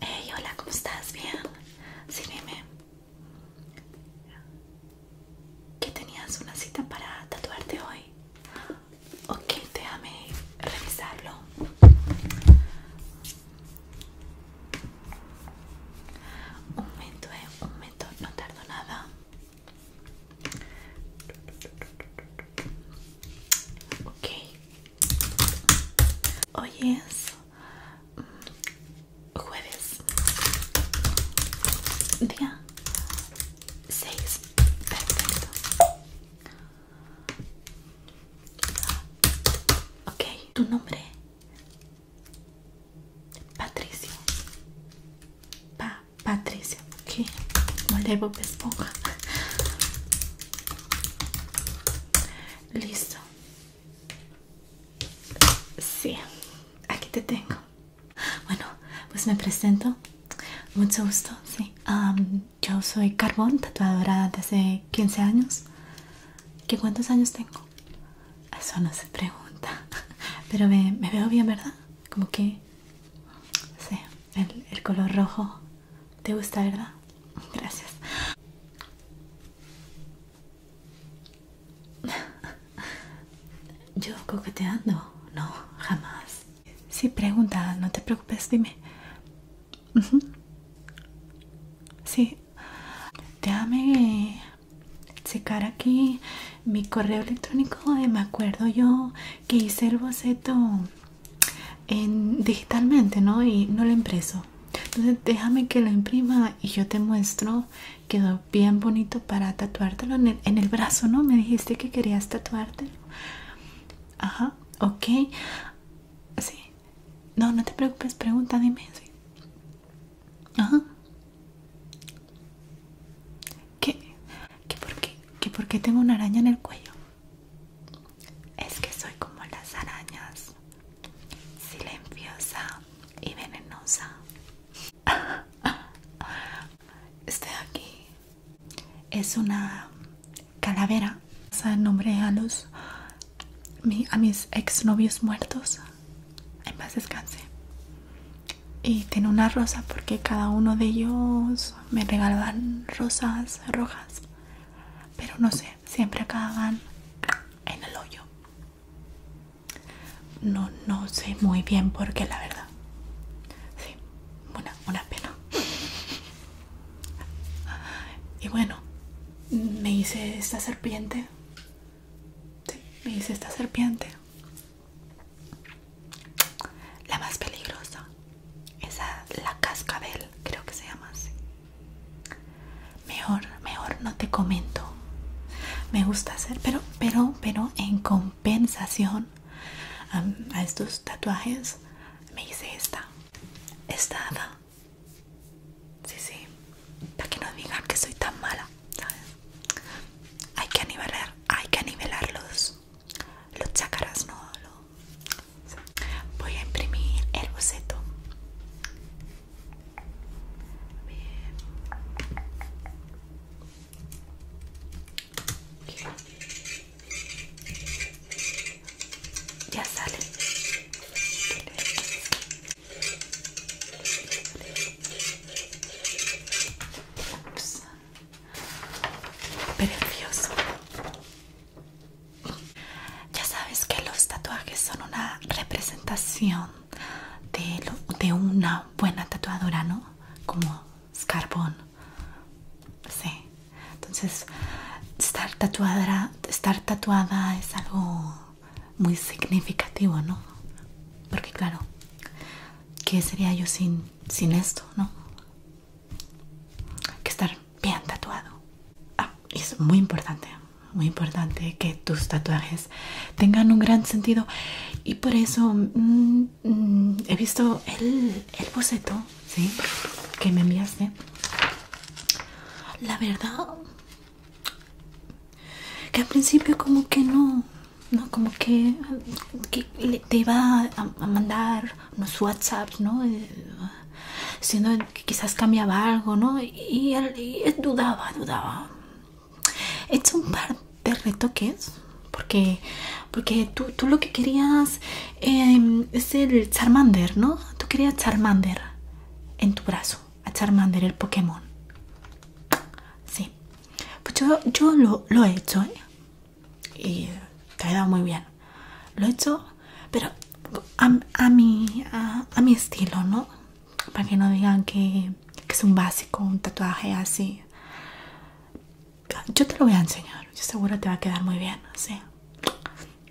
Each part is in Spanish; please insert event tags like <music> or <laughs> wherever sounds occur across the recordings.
Hey, hola, ¿cómo estás? Bien. Sí, dime. ¿Qué tenías una cita para tatuarte hoy? Ok, déjame revisarlo. Un momento, eh, un momento, no tardo nada. Ok. Hoy es mm, jueves. Día 6. Perfecto. Ok, tu nombre. Patricio. Pa Patricia, que Esponja. Listo. Sí, aquí te tengo. Bueno, pues me presento. Mucho gusto, sí. yo soy Carbón, tatuadora desde 15 años. ¿Qué cuántos años tengo? Eso no se pregunta. <laughs> Pero me veo bien, ¿verdad? Como que Sí, el, color rojo. ¿Te gusta, verdad? Gracias. Yo coqueteando, no, jamás. Sí, pregunta, no te preocupes, dime. Sí. Te Sí, checar aquí mi correo electrónico eh, me acuerdo yo que hice el boceto en, digitalmente no y no lo impreso entonces déjame que lo imprima y yo te muestro quedó bien bonito para tatuártelo en el, brazo no me dijiste que querías tatuártelo ajá ok sí no no te preocupes pregunta dime ajá ¿Qué? ¿Qué por qué? ¿Qué por qué tengo una araña en el cuello? Es que soy como las arañas, silenciosa y venenosa. <laughs> Estoy aquí. Es una calavera. sea, nombre a los a mis exnovios muertos. En paz descanse y tiene una rosa porque cada uno de ellos me regalaban rosas rojas pero no sé siempre acaban en el hoyo no no sé muy bien porque qué la verdad sí una, pena y bueno me hice esta serpiente sí, me hice esta serpiente la más peligrosa Esa, la cascabel Creo que se llama así Mejor, mejor no te comento Me gusta hacer Pero, pero, pero en compensación A, a estos tatuajes Me hice esta Esta Sí, sí Para que no digan que soy tan mala hay que nivelar, hay que nivelar los, los ¿no? Voy a imprimir el boceto. Ya sale. Precioso. Ya sabes que los tatuajes son una representación de, una buena tatuadora, ¿no? Como Scarbón. Sí. Entonces, estar estar tatuada es algo muy significativo, ¿no? Porque claro, ¿qué sería yo sin, sin esto, no? que estar bien tatuado. Ah, es muy importante, muy importante que tus tatuajes tengan un gran sentido. Y por eso mm, mm, he visto el, el boceto, ¿sí? Que me enviaste. La verdad, que al principio como que no, no como que, te va a, mandar unos whatsapp ¿no? que quizás cambiaba algo, ¿no? Y, él dudaba, dudaba. He hecho un par de retoques porque, porque tú, lo que querías em, es el Charmander, ¿no? Tú querías Charmander en tu brazo a Charmander el Pokémon. Sí, pues yo, lo, he hecho, ¿eh? Y te ha quedado muy bien. Lo he hecho, pero a, mi, a, mi estilo, ¿no? Para que no digan que, es un básico, un tatuaje así. Yo te lo voy a enseñar, yo seguro te va a quedar muy bien, sí.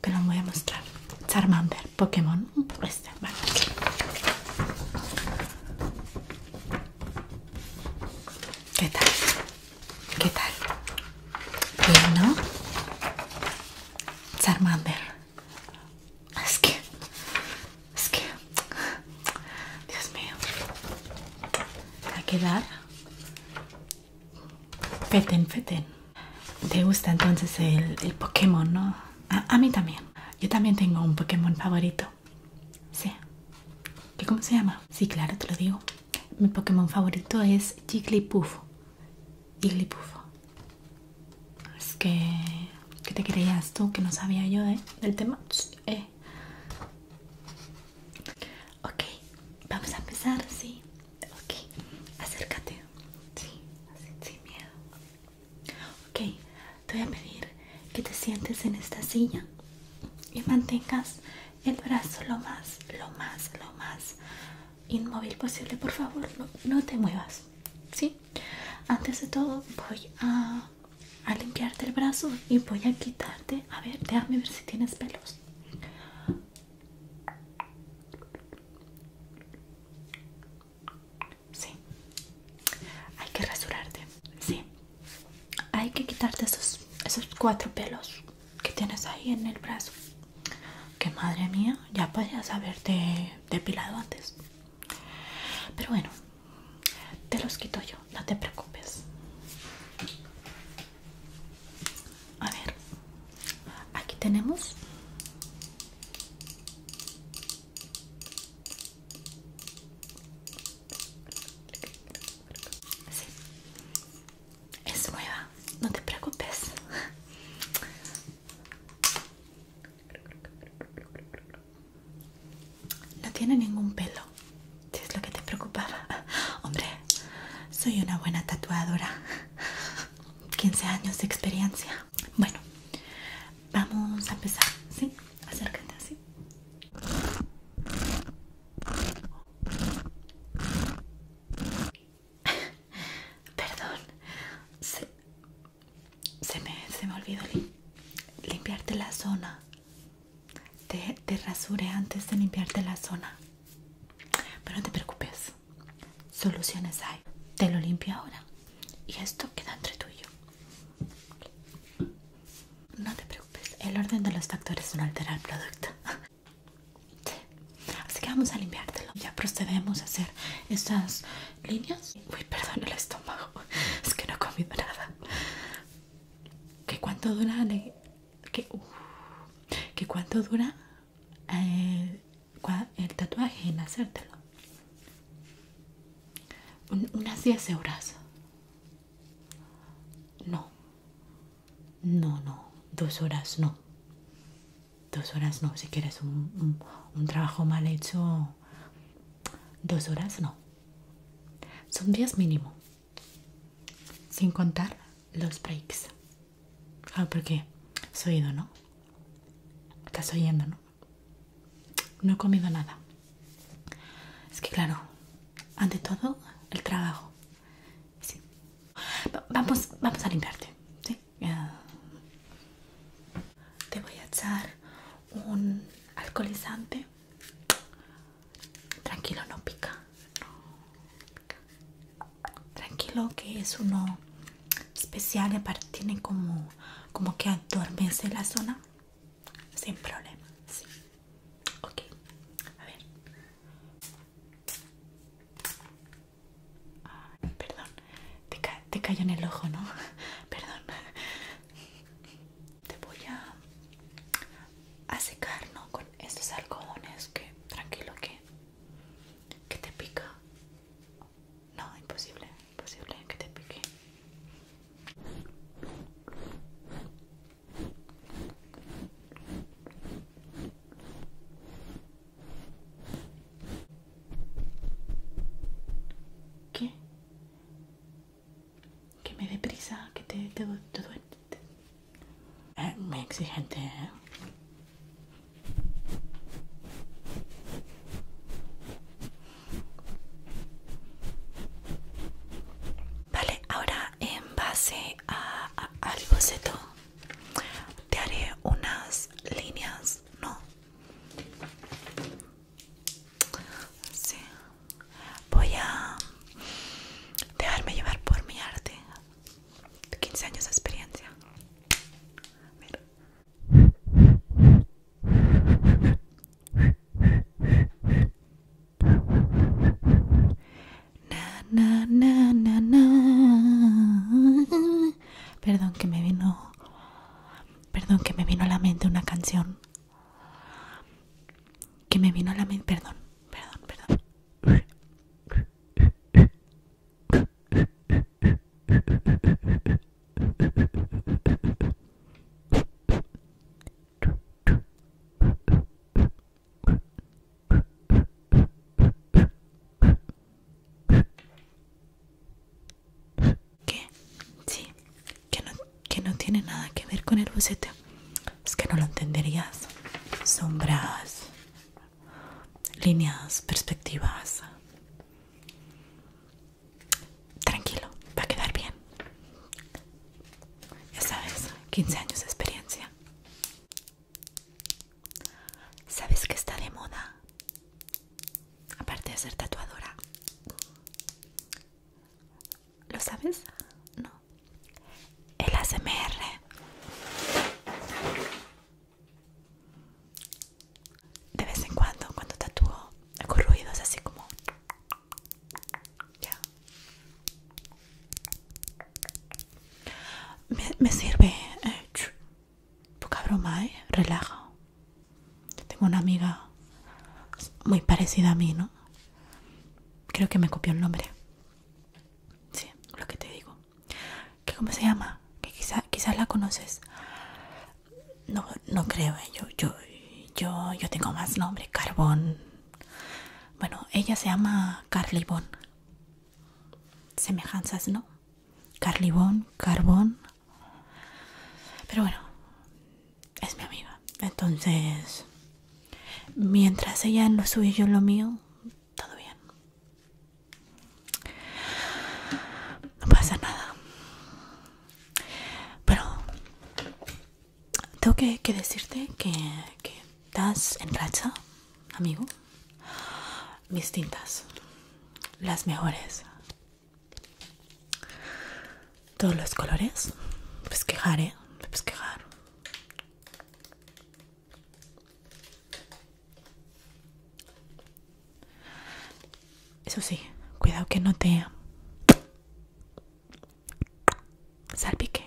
Te lo voy a mostrar. Charmander, Pokémon. Esta, aquí ¿Qué tal? ¿Qué tal? bueno Charmander. Es que... Es que... Dios mío. Va a quedar... Feten, feten. ¿Te gusta entonces el, el Pokémon, no? A, mí también. Yo también tengo un Pokémon favorito. Sí. ¿Qué cómo se llama? Sí, claro, te lo digo. Mi Pokémon favorito es Jigglypuff. Jigglypuff. Es que... ¿Qué te creías tú? Que no sabía yo del tema. Eh. Ok, vamos a empezar, sí. Ok, acércate. Sí, así, sin miedo. Ok, te voy a pedir que te sientes en esta silla y mantengas el brazo lo más, lo más, lo más inmóvil posible. Por favor, no, te muevas. ¿sí? Antes de todo voy a, a limpiarte el brazo y voy a quitarte. A ver, déjame ver si tienes pelos sí. Hay que rasurarte, sí. Hay que quitarte esos, esos cuatro pelos que tienes ahí en el brazo. Que madre mía, ya podrías haberte depilado antes. Pero bueno, te los quito yo, no te preocupes. A ver, aquí tenemos es nueva, no te preocupes. No tiene ningún pelo, si es lo que te preocupaba. Hombre, soy una buena tatuadora. 15 años de experiencia. Bueno, vamos a empezar, ¿sí? Acércate así. <laughs> Perdón, se, me, olvidó limpiarte la zona. Te, te rasuré antes de limpiarte la zona. Pero no te preocupes, soluciones hay. Te lo limpio ahora y esto queda entre tú y yo. No te preocupes, el orden de los factores no altera el producto. <laughs> Así que vamos a limpiártelo. Ya procedemos a hacer estas líneas. Uy, perdón el estómago, <laughs> es que no he comido nada. ¿Qué cuánto dura? que cuánto dura? Eh, el tatuaje en hacértelo. unas 10 horas No. No, no. Dos horas no. Dos horas no. Si quieres un, un, trabajo mal hecho, dos horas no. Son días mínimo. Sin contar los breaks. Claro, ah, porque has oído, ¿no? Estás oyendo, ¿no? No he comido nada. Es que claro, ante todo, el trabajo. Sí. vamos, vamos a limpiarte, ¿sí? te voy a echar un alcoholizante. Tranquilo, no pica. No. Tranquilo que es uno especial aparte tiene como, como que adormece la zona sin problema. Ok, a ver. perdón, te, cayó en el ojo, ¿no? <laughs> perdón. Te voy a, a secar, ¿no? Con estos algodones que tranquilo que ¿Que te pica? No, imposible, imposible que te pique. ¿Qué? Que me dé prisa, que te, te, duele. Eh, me exigente, ¿eh? Vale, ahora en base al boceto te haré unas líneas, ¿no? Sí. Voy a dejarme llevar por mi arte. 15 años de experiencia. Na, Perdón que me vino. Perdón que me vino a la mente una canción. Que me vino a la mente. Perdón, perdón, perdón que sí que no, tiene nada que ver con el boceto, es que no lo entenderías sombras líneas, perspectivas. Tranquilo, va a quedar bien. Ya sabes, 15 años de experiencia. ¿Sabes que está de moda? Aparte de ser tatuadora. ¿Lo sabes? No el ASMR de vez en cuando cuando tatúo hago ruidos así como ya me, sirve Tu eh, poca broma eh, relaja tengo una amiga muy parecida a mí no creo que me copió el nombre sí lo que te digo que cómo se llama que quizás quizá la conoces no no creo ¿eh? yo yo yo yo tengo más nombre carbón bueno ella se llama Carly semejanzas no Carly carbón pero bueno es mi amiga entonces mientras ella no lo yo lo mío todo bien. No pasa nada. Pero tengo que, decirte que, estás en racha, amigo. Mis tintas, las mejores. Todos los colores, pues quejar, ¿eh? Pues quejar. Eso sí, cuidado que no te salpique.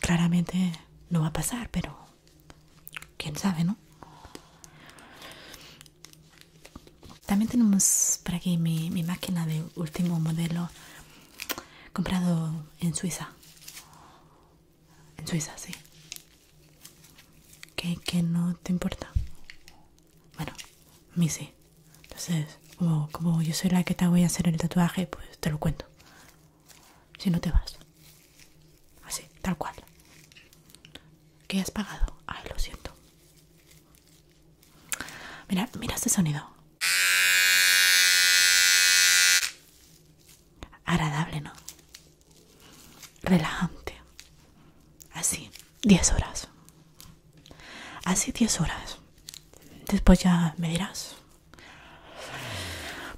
Claramente no va a pasar, pero quién sabe, ¿no? También tenemos por aquí mi, máquina de último modelo comprado en Suiza. En Suiza, sí. Que, no te importa. Bueno, mi sí. Entonces, como, como yo soy la que te voy a hacer el tatuaje, pues te lo cuento. Si no te vas. Así, tal cual. Que has pagado? Ay, lo siento. Mira, mira este sonido. Agradable, ¿no? Relajante. Así, 10 horas. Así 10 horas. Después ya me dirás.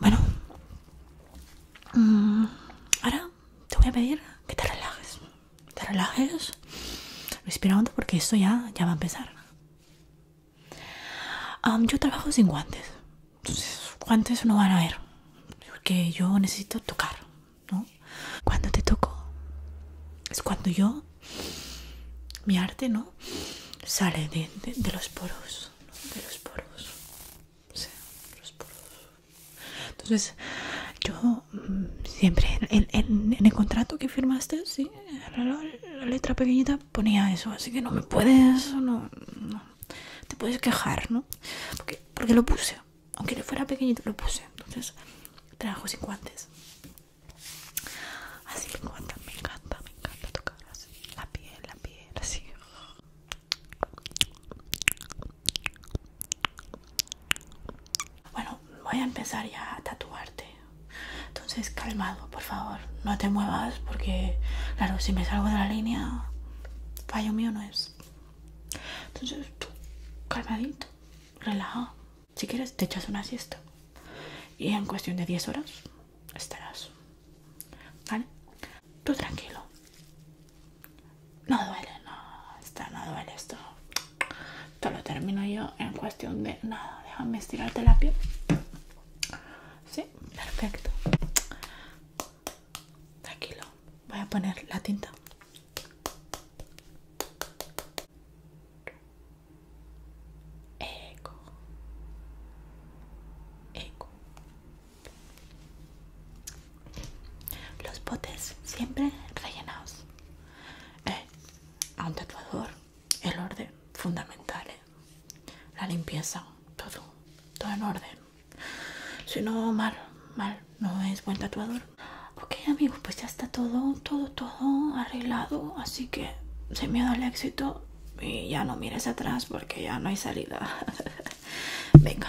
Bueno. Mm, ahora te voy a pedir que te relajes. Te relajes respirando porque esto ya, ya va a empezar yo trabajo sin guantes, entonces guantes no van a ver, porque yo necesito tocar, ¿no? Cuando te toco es cuando yo, mi arte, ¿no? Sale de, los poros, ¿no? de los poros, sí, los poros. Entonces yo mm, siempre en el contrato que firmaste, sí, la, letra pequeñita ponía eso, así que no me puedes, no, te puedes quejar, ¿no? Porque, porque lo puse, aunque le fuera pequeñito, lo puse, entonces trabajo sin guantes. Así me encanta, me encanta, me encanta tocar así, la piel, la piel, así. Bueno, voy a empezar ya a tatuarte entonces, calmado, por favor, no te muevas porque, claro, si me salgo de la línea, fallo mío no es. Entonces, tú, calmadito, relajado. Si quieres, te echas una siesta. Y en cuestión de 10 horas estarás. ¿Vale? Tú tranquilo. No duele, no. Está, no duele esto esto lo termino yo en cuestión de nada. Déjame estirarte la piel. Sí, perfecto. Tranquilo. Voy a poner la tinta. Eco. Eco. Los botes siempre rellenados. Eh, a un tatuador el orden fundamental, ¿eh? la limpieza, todo, todo en orden. Si no, mal, mal, no es buen tatuador. Ok amigos, pues ya está todo, todo, todo arreglado, así que sin miedo al éxito y ya no mires atrás porque ya no hay salida. <laughs> Venga.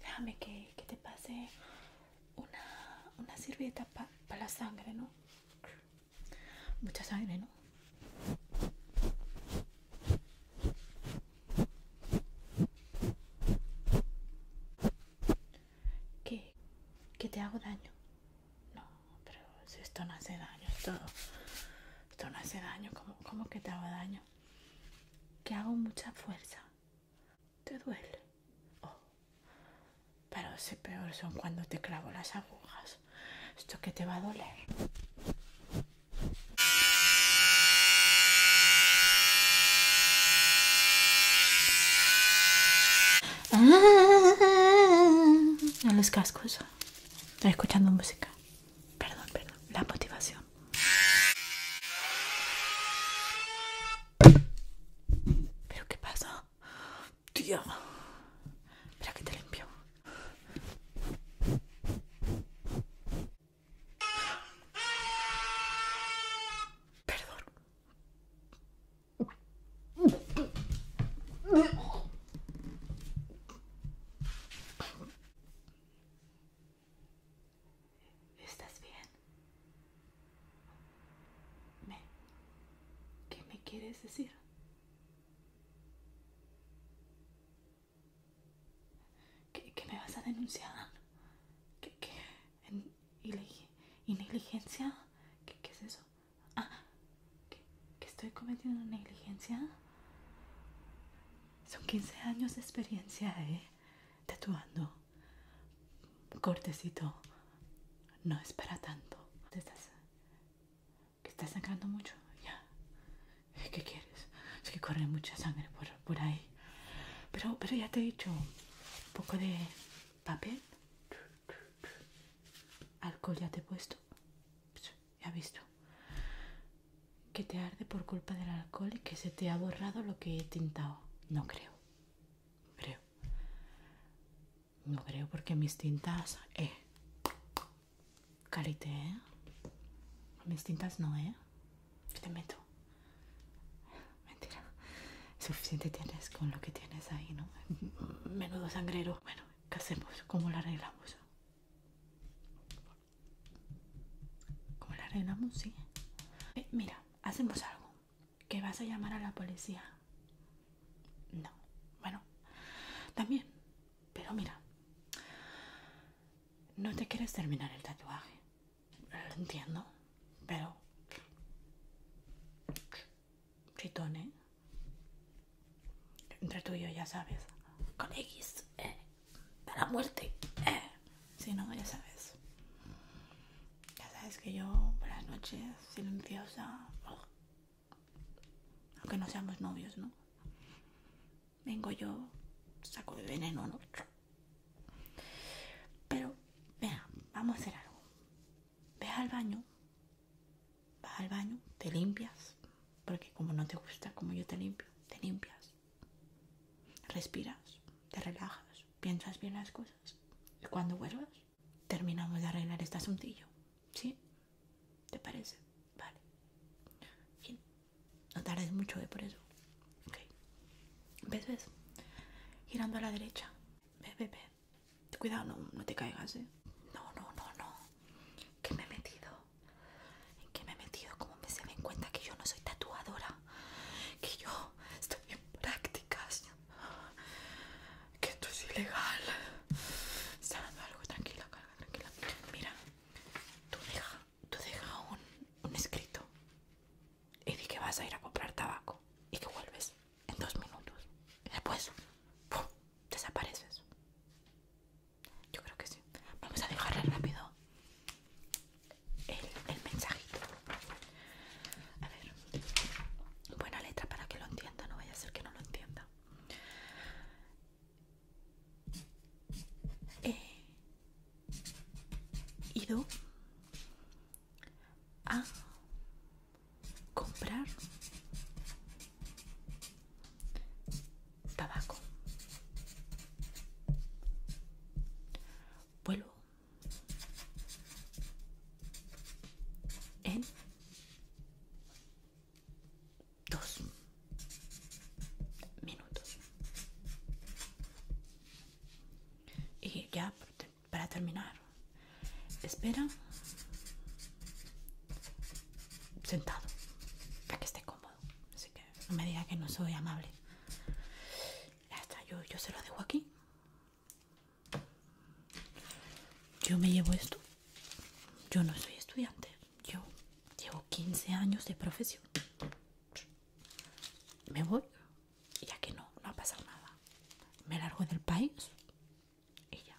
Déjame que, te pase una, una para la sangre, ¿no? Mucha sangre, ¿no? ¿Qué? ¿Que te hago daño? No, pero esto no hace daño, esto, esto no hace daño, cómo que te hago daño? que hago mucha fuerza. ¿Te duele? Oh. Pero si peor son cuando te clavo las agujas. Esto que te va a doler. Ah, los cascos. Estoy escuchando música. Perdón, perdón. La motivación. ¿Pero qué pasa? Tía Espera que te limpio. Perdón. ¿Estás bien? ¿Qué me quieres decir? ¿Que, me vas a denunciar? ¿Que, que ¿Negligencia? ¿Qué, es eso? Ah, ¿que, estoy cometiendo negligencia? Son 15 años de experiencia, ¿eh? Tatuando. Cortecito. No es para tanto. estás... Que estás sacando mucho, ya. ¿Qué quieres? Es que corre mucha sangre por, por ahí. Pero, pero ya te he dicho, un poco de papel. Alcohol ya te he puesto ya visto que te arde por culpa del alcohol y que se te ha borrado lo que he tintado. No creo. Creo. No creo porque mis tintas... Eh. Carite ¿eh? Mis tintas no, ¿eh? te meto. Mentira. Suficiente tienes con lo que tienes ahí, ¿no? Menudo sangrero. Bueno, ¿qué hacemos? ¿Cómo lo arreglamos? Como la reina Sí. Eh, mira, hacemos algo. ¿Que vas a llamar a la policía? No. Bueno, también. Pero mira, no te quieres terminar el tatuaje. Lo entiendo, pero... Chitón, ¿eh? Entre tú y yo, ya sabes. Con X, eh, la muerte. E. Si no, ya sabes. Ya sabes que yo, por las noches, silenciosa. Aunque no seamos novios, ¿no? Vengo yo, saco de veneno, otro, Pero, Vea, vamos a hacer algo. Ve al baño. va al baño, te limpias, porque como no te gusta, como yo te limpio, te limpias. Respiras, te relajas, piensas bien las cosas. Y cuando vuelvas, terminamos de arreglar este asuntillo. ¿Sí? ¿Te parece? Vale. Fin. No tardes mucho, ¿eh? Por eso. ¿Ves, ves? Girando a la derecha. Ve, ve, ve. Cuidado, no, no te caigas, ¿eh? No, no, no, no. Que me he metido. ¿En qué me he metido? como me se en cuenta que yo no soy tatuadora? Que yo estoy en prácticas. Que esto es ilegal. Está dando algo, tranquila, carga, tranquila. Mira, tú deja, tú deja un, un escrito. Y di que vas a ir a comprar tabaco y que vuelves en dos minutos. después, ¡pum! desapareces. Yo creo que sí. Vamos a dejarle rápido el, mensajito. A ver. Buena letra para que lo entienda, no vaya a ser que no lo entienda. He eh, ido a comprar tabaco vuelvo en dos minutos y ya para terminar espera sentado para que esté cómodo. Así que no me diga que no soy amable. Ya está, yo, se lo dejo aquí. Yo me llevo esto. Yo no soy estudiante. Yo llevo 15 años de profesión. Me voy, ya que no, no a pasar nada. Me largo del país y ya.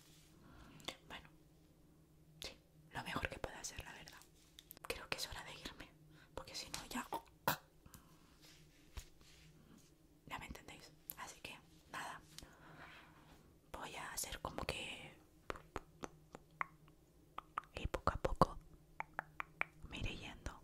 Bueno, sí, lo mejor que puede hacer, la verdad. Creo que es hora de irme, porque si no ya... Ya me entendéis. Así que, nada. Voy a hacer como que... Y poco a poco me iré yendo.